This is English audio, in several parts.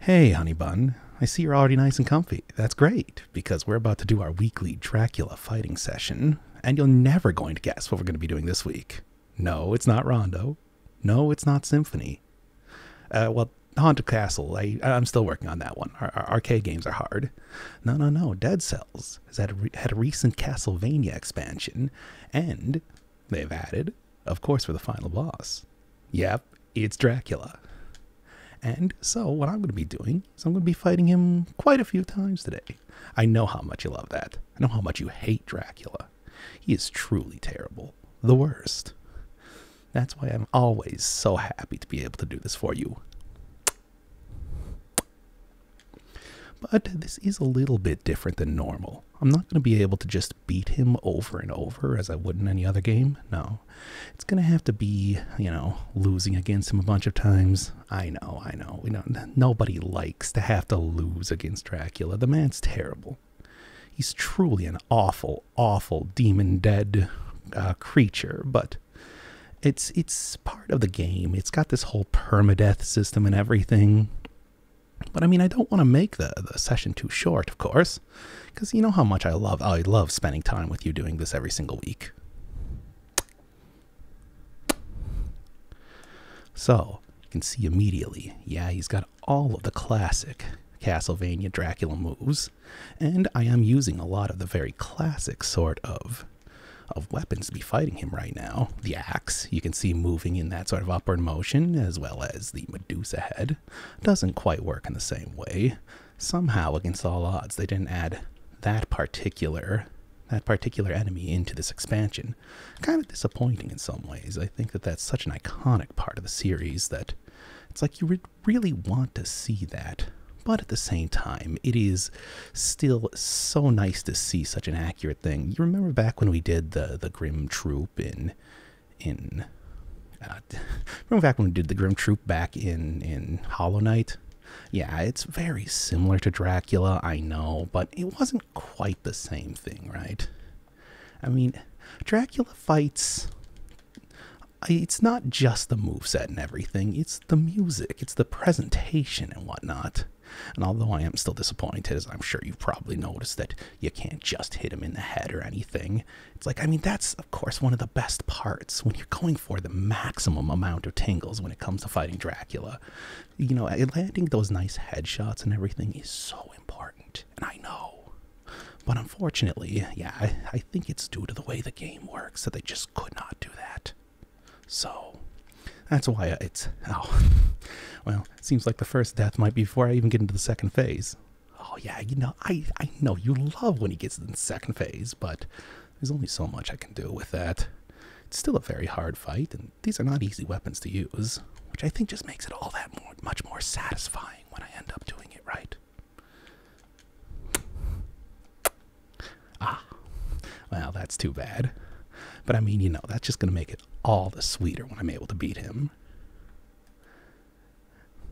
Hey, honey bun, I see you're already nice and comfy. That's great, because we're about to do our weekly Dracula fighting session, and you're never going to guess what we're going to be doing this week. No, it's not Rondo. No, it's not Symphony. Uh, well, Haunted Castle, I, am still working on that one. Our, arcade games are hard. No, no, no, Dead Cells has had a recent Castlevania expansion, and they've added, of course, for the final boss. Yep, it's Dracula. And so, what I'm going to be doing is I'm going to be fighting him quite a few times today. I know how much you love that. I know how much you hate Dracula. He is truly terrible, the worst. That's why I'm always so happy to be able to do this for you. But this is a little bit different than normal. I'm not going to be able to just beat him over and over as I would in any other game. No. It's going to have to be, you know, losing against him a bunch of times. I know, I know. We do nobody likes to have to lose against Dracula. The man's terrible. He's truly an awful, awful demon dead uh, creature, but it's it's part of the game. It's got this whole permadeath system and everything. But I mean, I don't want to make the, the session too short, of course, because you know how much I love, I love spending time with you doing this every single week. So, you can see immediately, yeah, he's got all of the classic Castlevania Dracula moves, and I am using a lot of the very classic sort of of weapons to be fighting him right now. The axe, you can see moving in that sort of upward motion, as well as the Medusa head doesn't quite work in the same way. Somehow, against all odds, they didn't add that particular that particular enemy into this expansion. Kind of disappointing in some ways. I think that that's such an iconic part of the series that it's like you really want to see that. But at the same time, it is still so nice to see such an accurate thing. You remember back when we did the the Grim Troop in in uh, back when we did the Grim Troop back in in Hollow Knight. Yeah, it's very similar to Dracula, I know, but it wasn't quite the same thing, right? I mean, Dracula fights. It's not just the move set and everything, it's the music, it's the presentation and whatnot. And although I am still disappointed, as I'm sure you've probably noticed, that you can't just hit him in the head or anything. It's like, I mean, that's, of course, one of the best parts when you're going for the maximum amount of tangles when it comes to fighting Dracula. You know, landing those nice headshots and everything is so important. And I know. But unfortunately, yeah, I, think it's due to the way the game works that they just could not do that. So, that's why it's. Oh. Well, seems like the first death might be before I even get into the second phase. Oh yeah, you know I I know you love when he gets in the second phase, but there's only so much I can do with that. It's still a very hard fight, and these are not easy weapons to use, which I think just makes it all that much more satisfying when I end up doing it right. Ah, well that's too bad. But I mean, you know, that's just gonna make it all the sweeter when I'm able to beat him.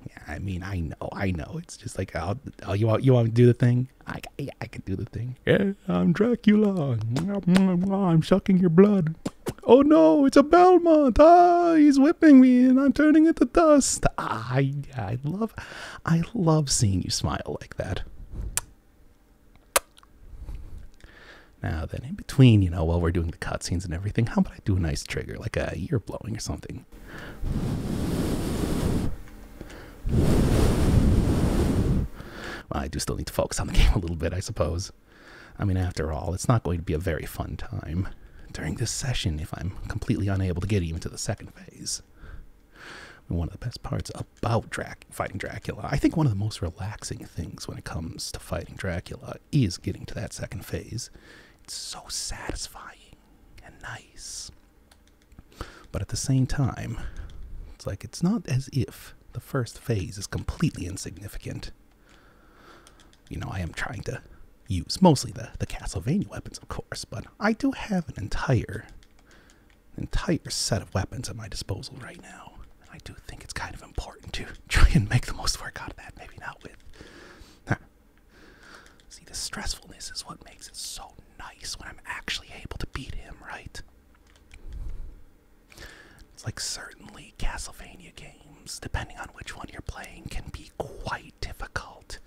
Yeah, I mean, I know, I know. It's just like, oh, you want, you want to do the thing? I, yeah, I can do the thing. Yeah, I'm Dracula. I'm sucking your blood. Oh no, it's a Belmont. Ah, he's whipping me and I'm turning into dust. Ah, I, I love, I love seeing you smile like that. Now then, in between, you know, while we're doing the cutscenes and everything, how about I do a nice trigger, like a ear blowing or something? I do still need to focus on the game a little bit, I suppose. I mean, after all, it's not going to be a very fun time during this session if I'm completely unable to get even to the second phase. One of the best parts about fighting Dracula, I think one of the most relaxing things when it comes to fighting Dracula is getting to that second phase. It's so satisfying and nice. But at the same time, it's like it's not as if the first phase is completely insignificant. You know, I am trying to use mostly the, the Castlevania weapons, of course, but I do have an entire entire set of weapons at my disposal right now. I do think it's kind of important to try and make the most work out of that. Maybe not with. See, the stressfulness is what makes it so nice when I'm actually able to beat him, right? It's like certainly Castlevania games, depending on which one you're playing, can be quite difficult.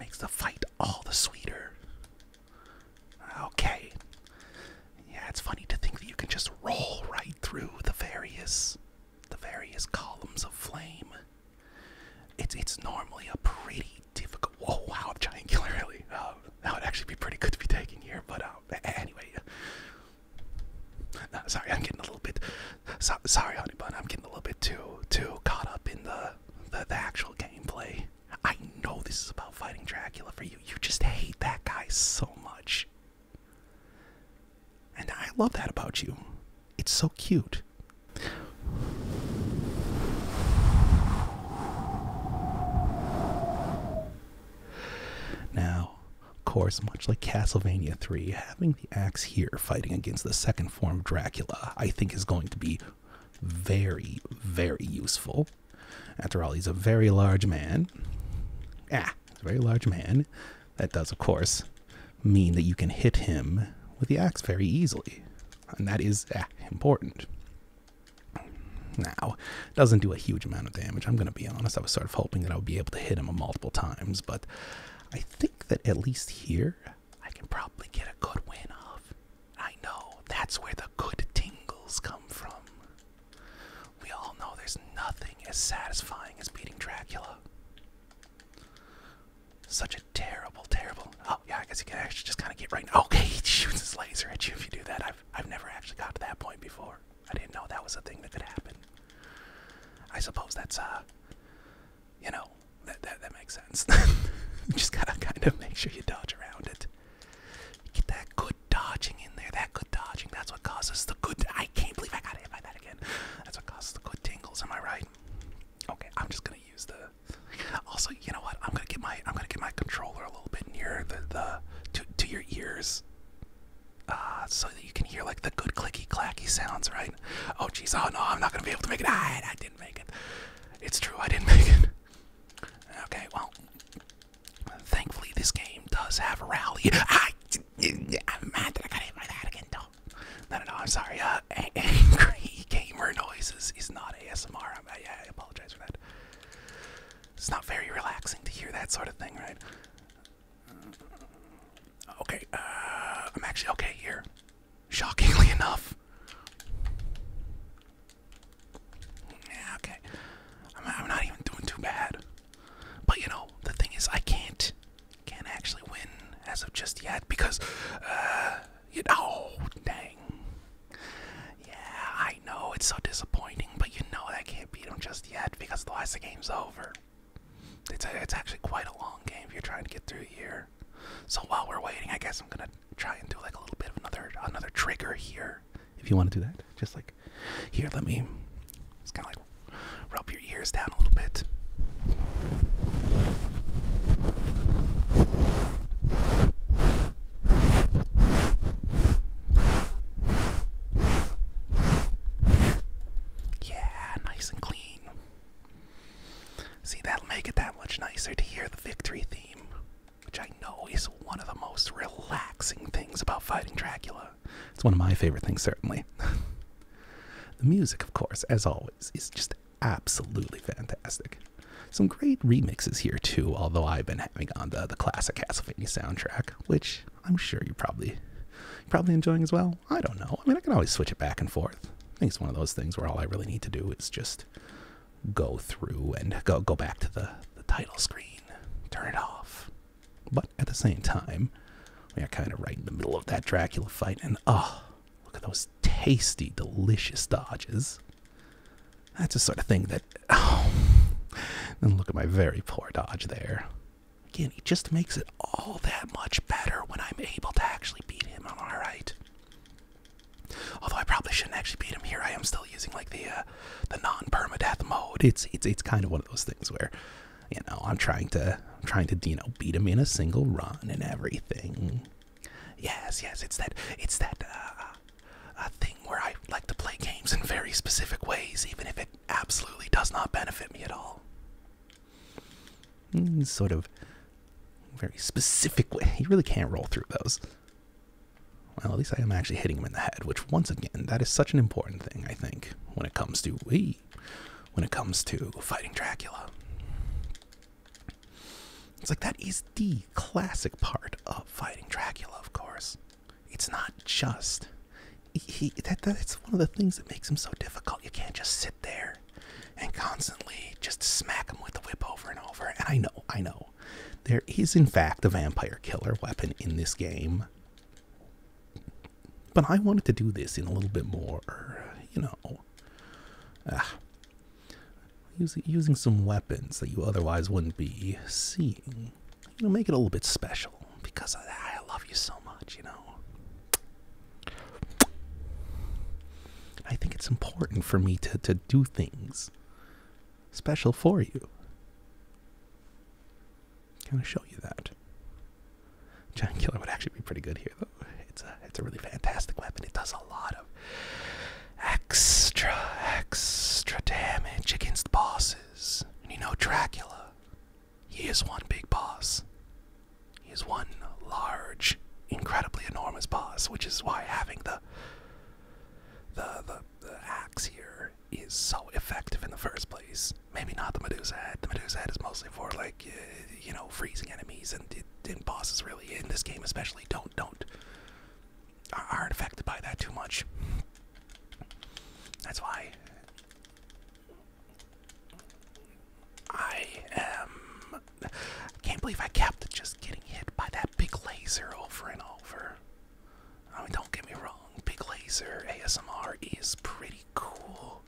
makes the fight all the sweeter. Okay. Yeah, it's funny to think that you can just roll right through the various the various columns of flame. It's it's normally a pretty difficult. Oh wow, giant killer really. Uh, that would actually be pretty good to be taking here, but uh, anyway. Uh, sorry, I'm getting a little bit. sorry, honey bun, I'm getting a little bit too too caught up in the the, actual gameplay. I know this is about fighting Dracula for you you just hate that guy so much. And I love that about you. It's so cute. Now, of course, much like Castlevania 3, having the axe here fighting against the second form Dracula, I think is going to be very, very useful. After all, he's a very large man. Ah, he's a very large man. That does, of course, mean that you can hit him with the axe very easily. And that is ah, important. Now, doesn't do a huge amount of damage. I'm going to be honest. I was sort of hoping that I would be able to hit him multiple times, but I think that at least here, I can probably get a good win off. I know that's where the good tingles come from. We all know there's nothing as satisfying as beating Dracula. Such a terrible, terrible. Oh, yeah, I guess you can actually just kind of get right Okay, he shoots his laser at you if you do that. I've, I've never actually got to that point before. I didn't know that was a thing that could happen. I suppose that's, uh, you know, that, that, that makes sense. just gotta kind of make sure you dodge around it. Get that good dodging in there. That good dodging. That's what causes the good. I can't believe I got hit by that again. That's what causes the good tingles. Am I right? Okay, I'm just gonna use the. Also, you know what? I'm gonna get my I'm gonna get my controller a little bit near the the to to your ears, uh, so that you can hear like the good clicky clacky sounds, right? Oh jeez, oh no, I'm not gonna be able to make it. I I didn't make it. It's true, I didn't make it. Okay, well, Thankfully, this game does have a rally. I, I'm mad that I got hit by that again, No, no, no, I'm sorry. Uh, angry gamer noises is not ASMR. I, I apologize for that. It's not very relaxing to hear that sort of thing, right? Okay, uh, I'm actually okay here. Shockingly enough. Yeah, okay. I'm, not even doing too bad. But you know, the thing is, I can't, can't actually win as of just yet because, uh, you know, dang. Yeah, I know it's so disappointing, but you know that I can't beat him just yet because the last game's over. it's actually quite a long game if you're trying to get through here. So while we're waiting, I guess I'm gonna try and do like a little bit of another another trigger here if you want to do that. Just like here, let me just kind of like rub your ears down a little bit. Yeah, nice and clean. See, that'll make it that much nicer to hear the victory theme which I know is one of the most relaxing things about fighting Dracula. It's one of my favorite things, certainly. the music, of course, as always, is just absolutely fantastic. Some great remixes here, too, although I've been having on the, the classic Castlevania soundtrack, which I'm sure you probably probably enjoying as well. I don't know. I mean, I can always switch it back and forth. I think it's one of those things where all I really need to do is just go through and go go back to the, the title screen, turn it off. But at the same time, we are kind of right in the middle of that Dracula fight, and oh, look at those tasty, delicious dodges. That's the sort of thing that. Oh, and look at my very poor dodge there. Again, he just makes it all that much better when I'm able to actually beat him. I'm alright. Although I probably shouldn't actually beat him here. I am still using like the uh, the non-permadeath mode. It's it's it's kind of one of those things where, you know, I'm trying to I'm trying to you know beat him in a single run and everything. Yes, yes, it's that it's that uh, uh thing where I like to play games in very specific ways, even if it absolutely does not benefit me at all. Mm, sort of very specific way. You really can't roll through those. Well, at least I am actually hitting him in the head, which once again, that is such an important thing, I think, when it comes to we when it comes to fighting Dracula. It's like that is the classic part of fighting Dracula, of course. It's not just he, that that's one of the things that makes him so difficult. You can't just sit there and constantly just smack him with the whip over and over. And I know, I know. There is, in fact, a vampire killer weapon in this game. But I wanted to do this in a little bit more, you know, uh, ah. using, using some weapons that you otherwise wouldn't be seeing. You know, make it a little bit special because I love you so much, you know. I think it's important for me to, to do things special for you. Kind of show you that. Giant Killer would actually be pretty good here, though. It's a it's a really fantastic weapon. It does a lot of extra extra damage against bosses. And you know Dracula, he is one big boss. He is one large, incredibly enormous boss, which is why having the the, the axe here is so effective in the first place. Maybe not the Medusa head. The Medusa head is mostly for like you know freezing enemies and it, bosses really in this game especially don't don't aren't affected by that too much. That's why I am. can't believe I kept just just getting hit by that big laser over and over. I mean, don't get me wrong, big laser ASMR is pretty cool,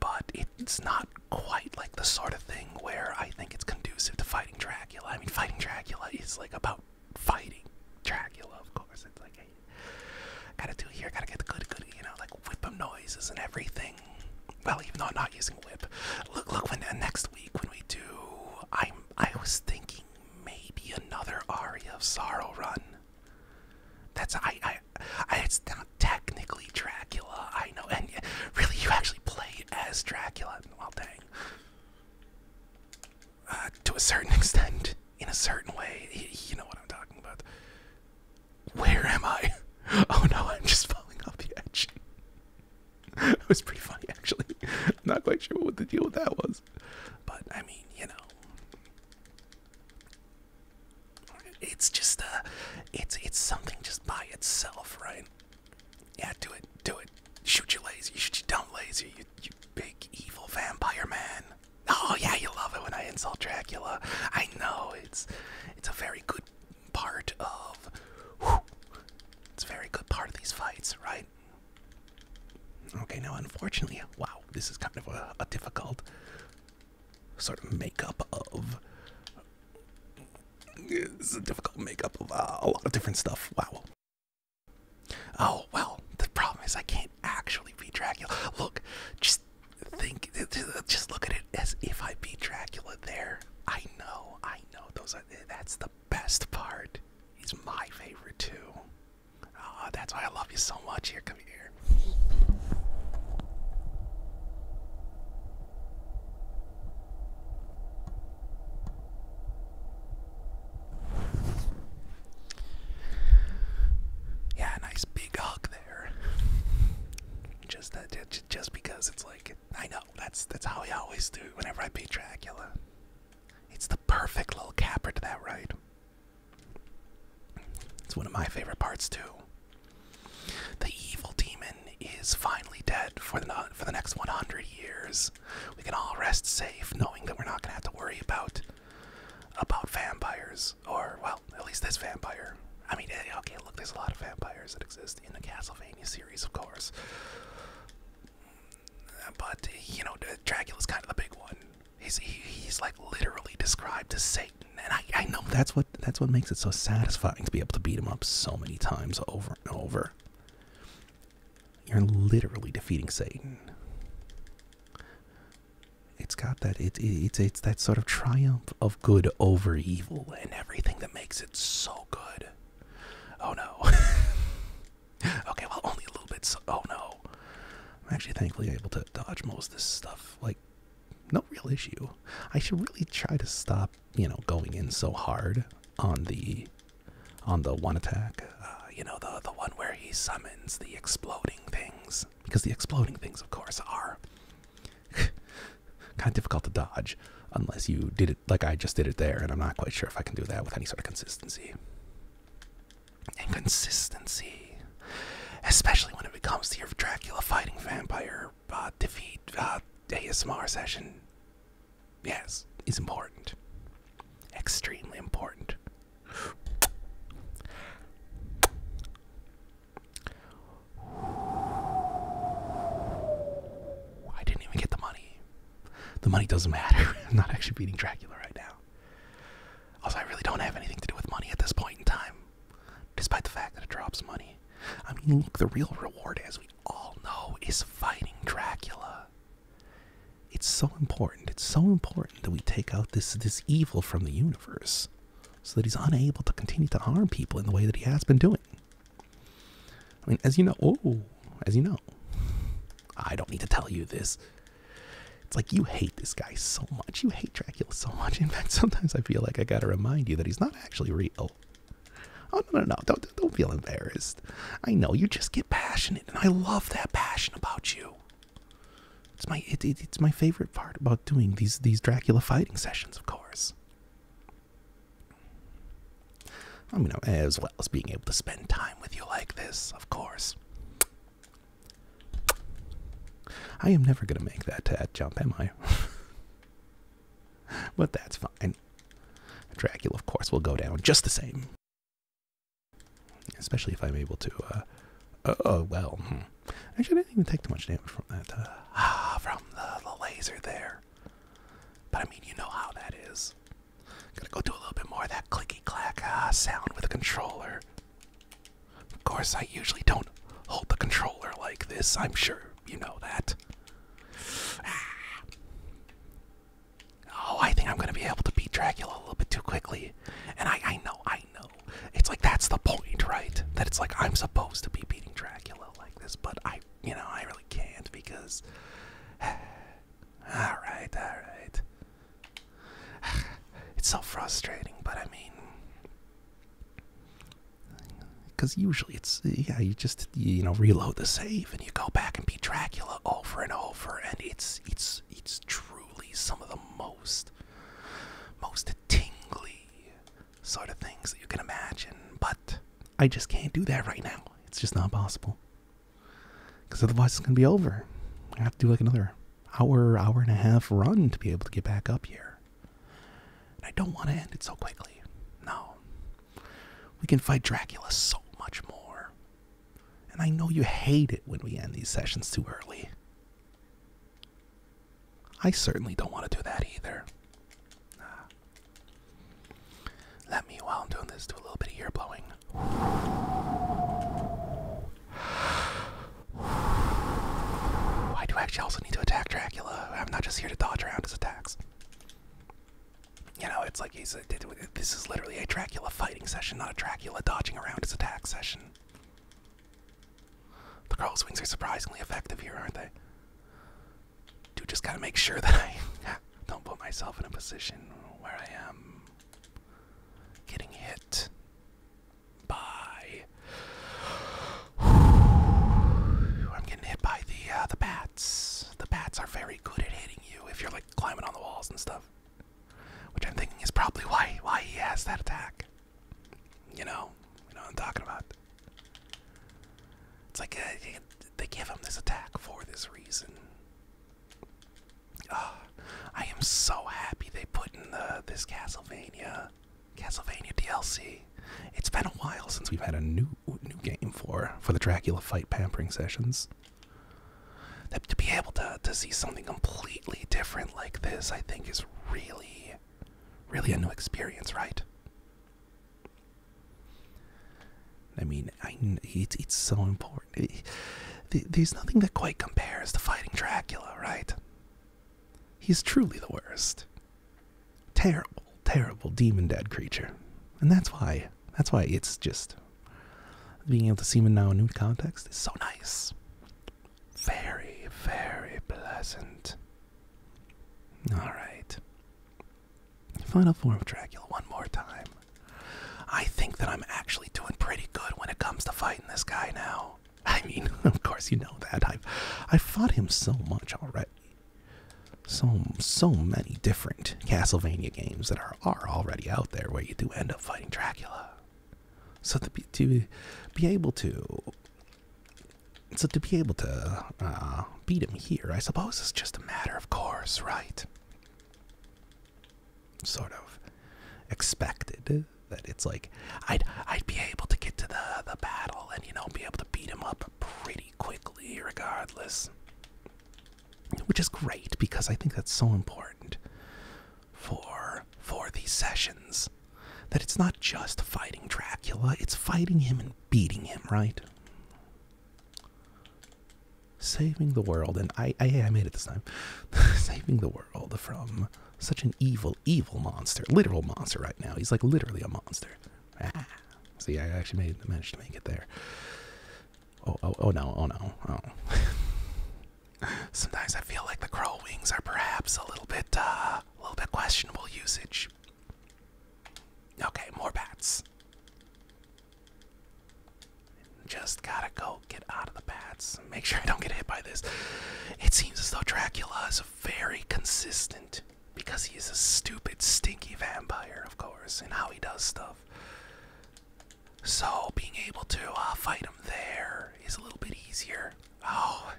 but it's not quite like the sort of thing where I think it's conducive to fighting Dracula. I mean, fighting Dracula is like about fighting Dracula, of course. It's like, hey, gotta do here, gotta get the good, good, you know, like whip up noises and everything. Well, even though I'm not using whip. Look, look when uh, next week when we do. I'm. I was thinking maybe another Aria of Sorrow run. That's I. I. it's not technically Dracula. I know, and yeah, really, you actually play as Dracula. Well, dang. Uh, to a certain extent, in a certain way, you know what I'm talking about. Where am I? Oh no, I'm just falling off the edge. it was pretty funny actually. I'm not quite sure what the deal with that was, but I mean, you know, it's just uh, it's it's something just by itself, right? Yeah, do it, do it. Shoot you lazy, shoot you dumb lazy, you you big evil vampire man. Oh yeah, you love it when I insult Dracula. I know it's it's a very good part of. it's a very good part of these fights, right? Okay, now unfortunately, wow, this is kind of a, difficult sort of makeup of. It's a difficult makeup of uh, a lot of different stuff. Wow. Oh, well, the problem is I can't actually beat Dracula. Look, just think, just look at it as if I beat Dracula there. I know, I no, those are, that's the best part. He's my favorite too. Ah, that's why I love you so much. Here, come here. Yeah, nice big hug there. Just that, just because it's like I know that's that's how I always do whenever I beat Dracula. It's the perfect little caper to that right. It's one of my favorite parts too. The evil demon is finally dead for the for the next 100 years. We can all rest safe knowing that we're not going to have to worry about about vampires or well, at least this vampire. I mean, eh, okay, look, there's a lot of vampires that exist in the Castlevania series, of course. But you know, Dracula's kind of the big one. He's he's like literally described as Satan, and I I know that's what that's what makes it so satisfying to be able to beat him up so many times over and over. You're literally defeating Satan. It's got that it, it it's that sort of triumph of good over evil and everything that makes it it's so good. Oh no. okay, well, only a little bit. oh no. I'm actually thankfully able to dodge most of this stuff. Like, no real issue. I should really try to stop, you know, going in so hard on the on the one attack. Uh, you know, the the one where he summons the exploding things, because the exploding things, of course, are kind of difficult to dodge unless you did it like I just did it there, and I'm not quite sure if I can do that with any sort of consistency. Inconsistency, especially when it comes to your Dracula fighting vampire uh, defeat uh, ASMR session, yes, is important. Extremely important. I didn't even get the money. The money doesn't matter. I'm not actually beating Dracula right now. Also, I really don't have anything to do with money at this point in time, despite the fact that it drops money. I mean, look, the real reward, as we all know, is fighting Dracula. It's so important. It's so important that we take out this this evil from the universe, so that he's unable to continue to harm people in the way that he has been doing. I mean, as you know, oh, as you know, I don't need to tell you this. It's like you hate this guy so much. You hate Dracula so much. In fact, sometimes I feel like I gotta remind you that he's not actually real. Oh no no no! Don't don't feel embarrassed. I know you just get passionate, and I love that passion about you. It's my it's my favorite part about doing these these Dracula fighting sessions, of course. I mean, as well as being able to spend time with you like this, of course. I am never going to make that jump, am I? but that's fine. Dracula, of course, will go down just the same. Especially if I'm able to, uh, uh oh, uh, well, hmm. actually, I didn't even take too much damage from that, uh, ah from the, the laser there. But I mean, you know how that is. Gotta go do a little bit more of that clicky clack ah sound with a controller. Of course, I usually don't hold the controller like this. I'm sure you know that. Ah. Oh, I think I'm gonna be able to beat Dracula a little bit too quickly. And I, I know, I know. It's like that's the point, right? That it's like I'm supposed to be beating Dracula like this, but I, you know, I really can't because. alright, alright. It's so frustrating, but I mean. Because usually it's, yeah, you just, you know, reload the save and you go back and beat Dracula over and over, and it's, it's, it's truly some of the most, most tingly sort of things that you can imagine, but I just can't do that right now. It's just not possible. Because otherwise, it's going to be over. I have to do like another hour, hour and a half run to be able to get back up here. And I don't want to end it so quickly. No. We can fight Dracula so much more. And I know you hate it when we end these sessions too early. I certainly don't want to do that either. let me, while I'm doing this, do a little bit of ear blowing. I do actually also need to attack Dracula. I'm not just here to dodge around his attacks. You know, it's like he's this is literally a Dracula fighting session, not a Dracula dodging around his attack session. The girl's wings are surprisingly effective here, aren't they? Dude, just gotta make sure that I don't put myself in a position where I am getting hit by. I'm getting hit by the uh, the bats. The bats are very good at hitting you if you're like climbing on the walls and stuff, which I'm thinking is probably why why he has that attack. You know, you know what I'm talking about. It's like uh, they give him this attack for this reason. Oh, I am so happy they put in the, this Castlevania, Castlevania DLC. It's been a while since we've had a new new game for for the Dracula fight pampering sessions. to be able to to see something completely different like this, I think, is really really a new experience, right? I mean, I, it's, it's so important. Eh, there's nothing that quite compares to fighting Dracula, right? He's truly the worst. Terrible, terrible demon dead creature. And that's why, that's why it's just being able to see him now in new context is so nice. Very, very pleasant. Alright. Final form of Dracula one more time. I think that I'm actually doing pretty good when it comes to fighting this guy now. I mean, of course you know that. I've I've fought him so much already. So so many different Castlevania games that are are already out there where you do end up fighting Dracula. So to be, to be able to so to be able to uh, beat him here, I suppose it's just a matter of course, right? Sort of expected that it's like I'd I'd be able to get to the the battle and you know be able to beat him up pretty quickly regardless. Which is great because I think that's so important for for these sessions that it's not just fighting Dracula, it's fighting him and beating him, right? Saving the world, and I, I, made it this time. Saving the world from such an evil, evil monster, literal monster right now. He's like literally a monster. Ah. see, I actually made, managed to make it there. Oh, oh, oh no, oh no, oh. Sometimes I feel like the crow wings are perhaps a little bit uh, a little bit questionable usage. Okay, more bats. Just gotta go get out of the bats. Make sure I don't get hit by this. It seems as though Dracula is very consistent because he is a stupid, stinky vampire, of course, and how he does stuff. So being able to uh, fight him there is a little bit easier. Oh,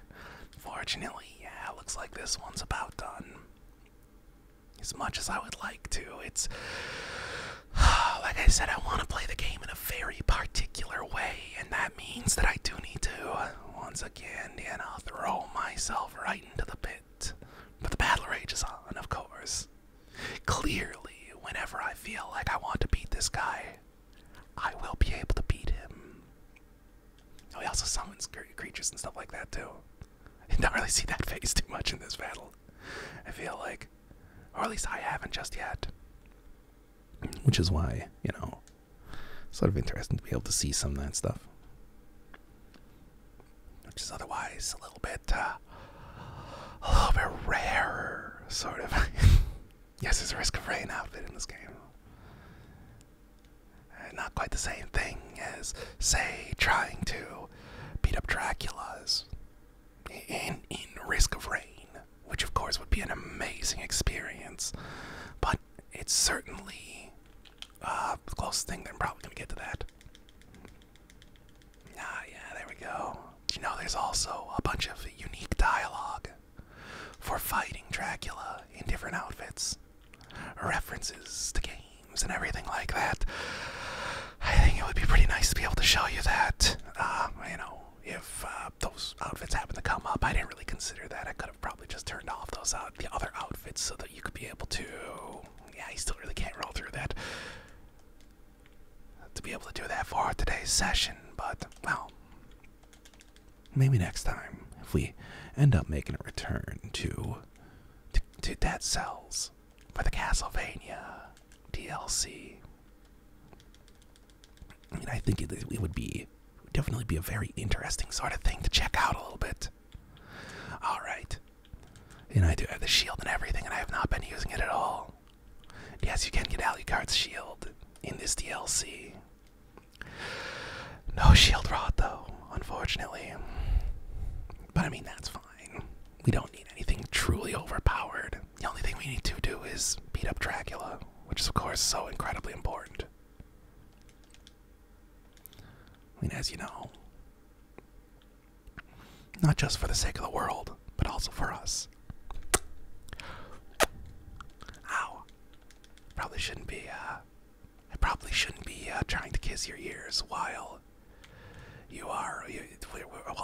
fortunately, yeah, looks like this one's about done. As much as I would like to, it's. Like I said, I want to play the game in a very particular way, and that means that I do need to, once again, and I'll throw myself right into the pit. But the battle rage is on, of course. Clearly, whenever I feel like I want to beat this guy, I will be able to beat him. Oh, also summons creatures and stuff like that too. You don't really see that phase too much in this battle. I feel like, or at least I haven't just yet. Which is why, you know, sort of interesting to be able to see some of that stuff. Which is otherwise a little bit, uh, a little bit rarer, sort of. Yes, there's a risk of rain outfit in this game. Uh, not quite the same thing as, say, trying to beat up Dracula's And in Risk of Rain, which of course would be an amazing experience, but it's certainly uh, the closest thing that I'm probably going to get to that. Ah, yeah, there we go. You know, there's also a bunch of unique dialogue for fighting Dracula in different outfits, references to games and everything like that. I think it would be pretty nice to be able to show you that. Um, you know, if uh, those outfits happen to come up, I didn't really consider that. I could have probably just turned off those out the other outfits so that you could be able to. Yeah, I still really can't roll through that. To be able to do that for today's session, but well, maybe next time if we end up making a return to to, Dead Cells for the Castlevania DLC. I mean, I think it, would be definitely be a very interesting sort of thing to check out a little bit. All right, and I do have the shield and everything, and I have not been using it at all. Yes, you can get Alucard's shield in this DLC. No shield rod, though, unfortunately. But I mean, that's fine. We don't need anything truly overpowered. The only thing we need to do is beat up Dracula, which is, of course, so incredibly important. I mean, as you know, not just for the sake of the world, but also for us. Ow. Probably shouldn't be, uh, I probably shouldn't be uh, trying to kiss your ears while you are, you,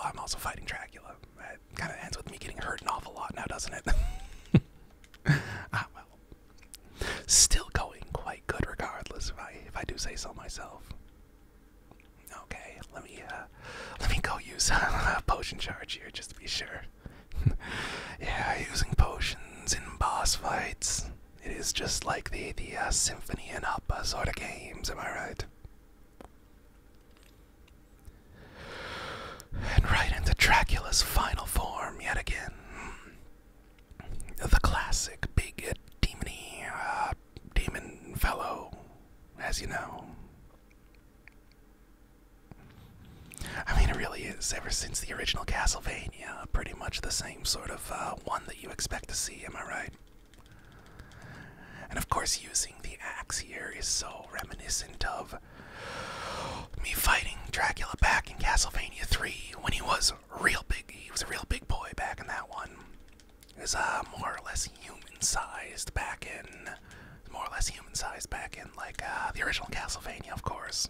I'm also fighting Dracula. It kind of ends with me getting hurt an awful lot now, doesn't it? Ah, well. Still going quite good regardless, if I, if I do say so myself. Okay, let me, uh, let me go use a potion charge here just to be sure. yeah, using potions in boss fights. It is just like the the uh, symphony in opera sort of games. Am I right? And right into Dracula's final form yet again. The classic big uh, demony demon fellow, as you know. I mean, it really is. Ever since the original Castlevania, pretty much the same sort of uh, one that you expect to see, am I right? And of course, using the axe here is so reminiscent of me fighting Dracula back in Castlevania 3 when he was real big. He was a real big boy back in that one. Is uh, more or less human-sized back in, more or less human-sized back in, like uh, the original Castlevania, of course.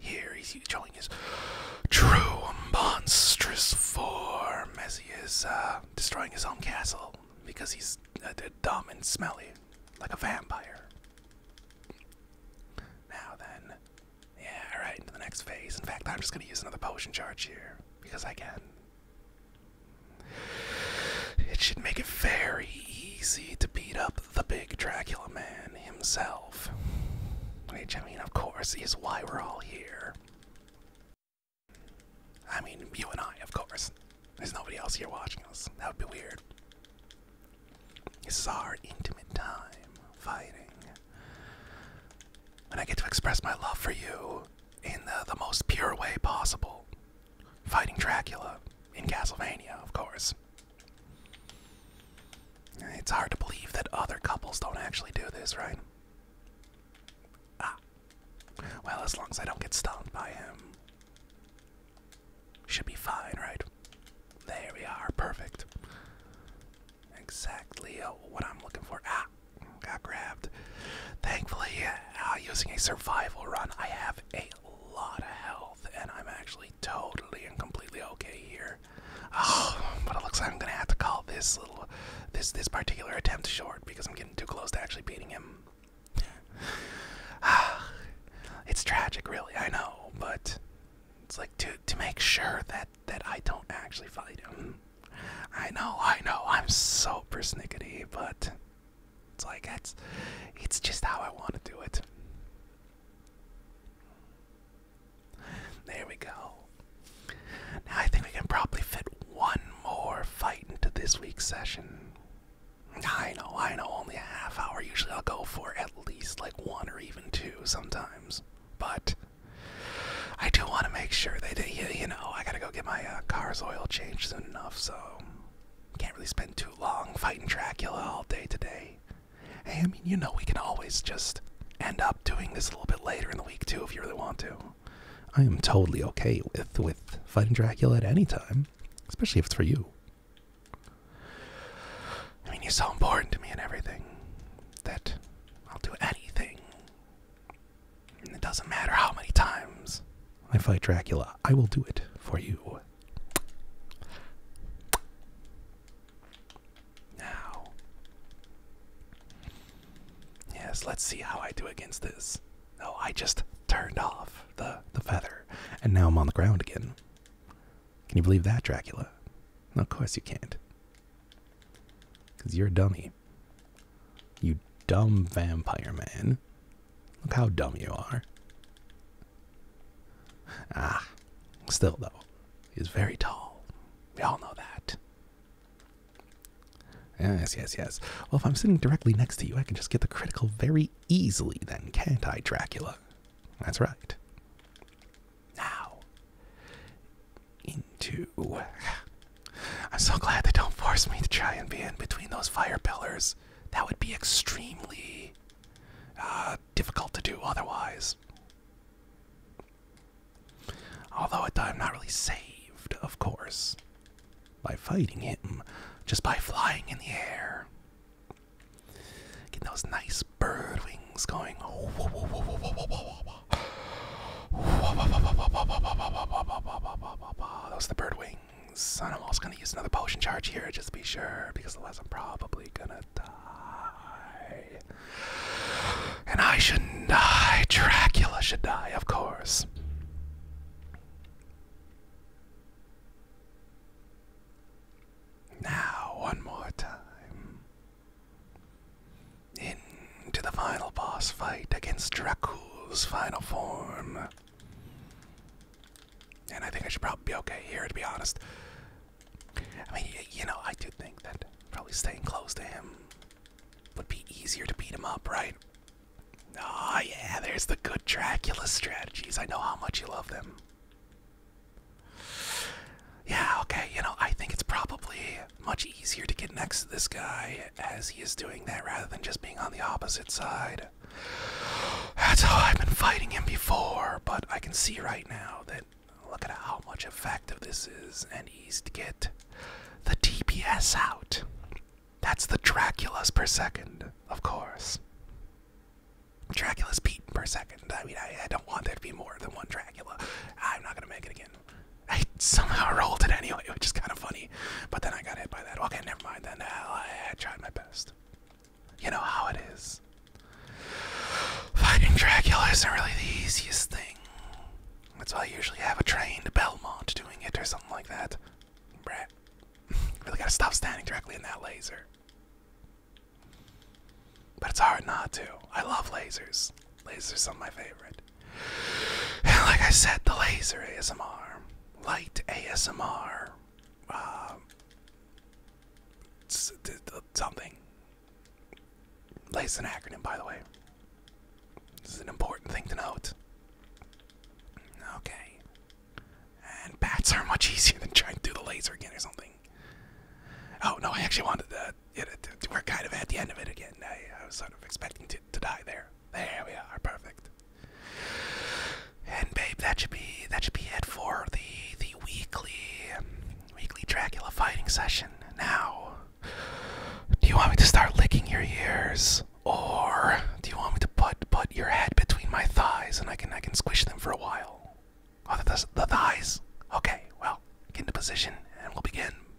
Here he's showing his true monstrous form as he is uh, destroying his own castle because he's uh, dumb and smelly, like a vampire. Now then, yeah, all right, into the next phase. In fact, I'm just gonna use another potion charge here because I can. It should make it very easy to beat up the big Dracula man himself. Which, I mean, of course, is why we're all here. I mean, you and I, of course. There's nobody else here watching us. That would be weird. This is our intimate time fighting. And I get to express my love for you in the, the most pure way possible fighting Dracula in Castlevania, of course. It's hard to believe that other couples don't actually do this, right? Ah. Well, as long as I don't get stoned by him. Should be fine, right? There we are, perfect. Exactly uh, what I'm looking for. Ah! got grabbed. Thankfully, uh, using a survival run, I have a lot of health, and I'm actually totally and completely okay here. Oh, but it looks like I'm gonna have to call this little, this this particular attempt short because I'm getting too close to actually beating him. it's tragic, really. I know, but it's like to to make sure that that I don't actually fight him. I know, I know, I'm super persnickety, but it's like that's it's just how I want to do it. There we go. Now I think we can probably fit one more fight into this week's session. I know, I know, only a half hour. Usually I'll go for at least like one or even two sometimes. But I do want to make sure that, you know, I gotta go go get my uh, car's oil changed soon enough, so can't really spend too long fighting Dracula all day today. Hey, I mean, you know, we can always just end up doing this a little bit later in the week too, if you really want to. I am totally okay with with fighting Dracula at any time, especially if it's for you. I mean, you're so important to me and everything that I'll do anything it doesn't matter how many times I fight Dracula, I will do it for you. Now. Yes, let's see how I do against this. Oh, I just turned off the, the feather, and now I'm on the ground again. Can you believe that, Dracula? of course you can't. Because you're a dummy. You dumb vampire man. Look how dumb you are. Ah, still though, he's very tall. We all know that. Yes, yes, yes. Well, if I'm sitting directly next to you, I can just get the critical very easily, then, can't I, Dracula? That's right. Now, into I'm so glad they don't force me to try and be in between those fire pillars. That would be extremely uh, difficult to do otherwise. Although I'm not really saved, of course, by fighting him, just by flying in the air. Getting those nice bird wings going. Those are the bird wings. And I'm also gonna use another potion charge here, just to be sure, because otherwise I'm probably gonna die. And I should die. Dracula should die, of course. Now, one more time into the final boss fight against Dracula's final form. And I think I should probably be okay here, to be honest. I mean, you know, I do think that probably staying close to him would be easier to beat him up, right? Oh, yeah, there's the good Dracula strategies. I know how much you love them. Yeah, okay, you know, I think it's probably much easier to get next to this guy as he is doing that rather than just being on the opposite side. That's how I've been fighting him before, but I can see right now that look at how much effective this is and easy to get the DPS out. That's the Draculas per second, of course. Dracula's beaten per second. I mean, I, I don't want there to be more than one Dracula. I'm not gonna make it again. I somehow rolled it anyway, which is kind of funny. But then I got hit by that. Okay, never mind. Then I, I tried my best. You know how it is. Fighting Dracula isn't really the easiest thing. That's why I usually have a trained Belmont doing it or something like that. Brat. really gotta stop standing directly in that laser. But it's hard not to. I love lasers. Lasers are my favorite. like I said, the laser ASMR, light ASMR, uh, um, something. Laser's an acronym, by the way. This is an important thing to note. Okay. And bats are much easier than trying to do the laser again or something. Oh no, I actually wanted that we're kind of at the end of it again. I, was sort of expecting to, to die there. There we are, perfect. And babe, that should be that should be it for the the weekly weekly Dracula fighting session. Now, do you want me to start licking your ears, or do you want me to put put your head between my thighs and I can I can squish them for a while? Oh, the, the thighs. Okay, well, get into position and we'll begin.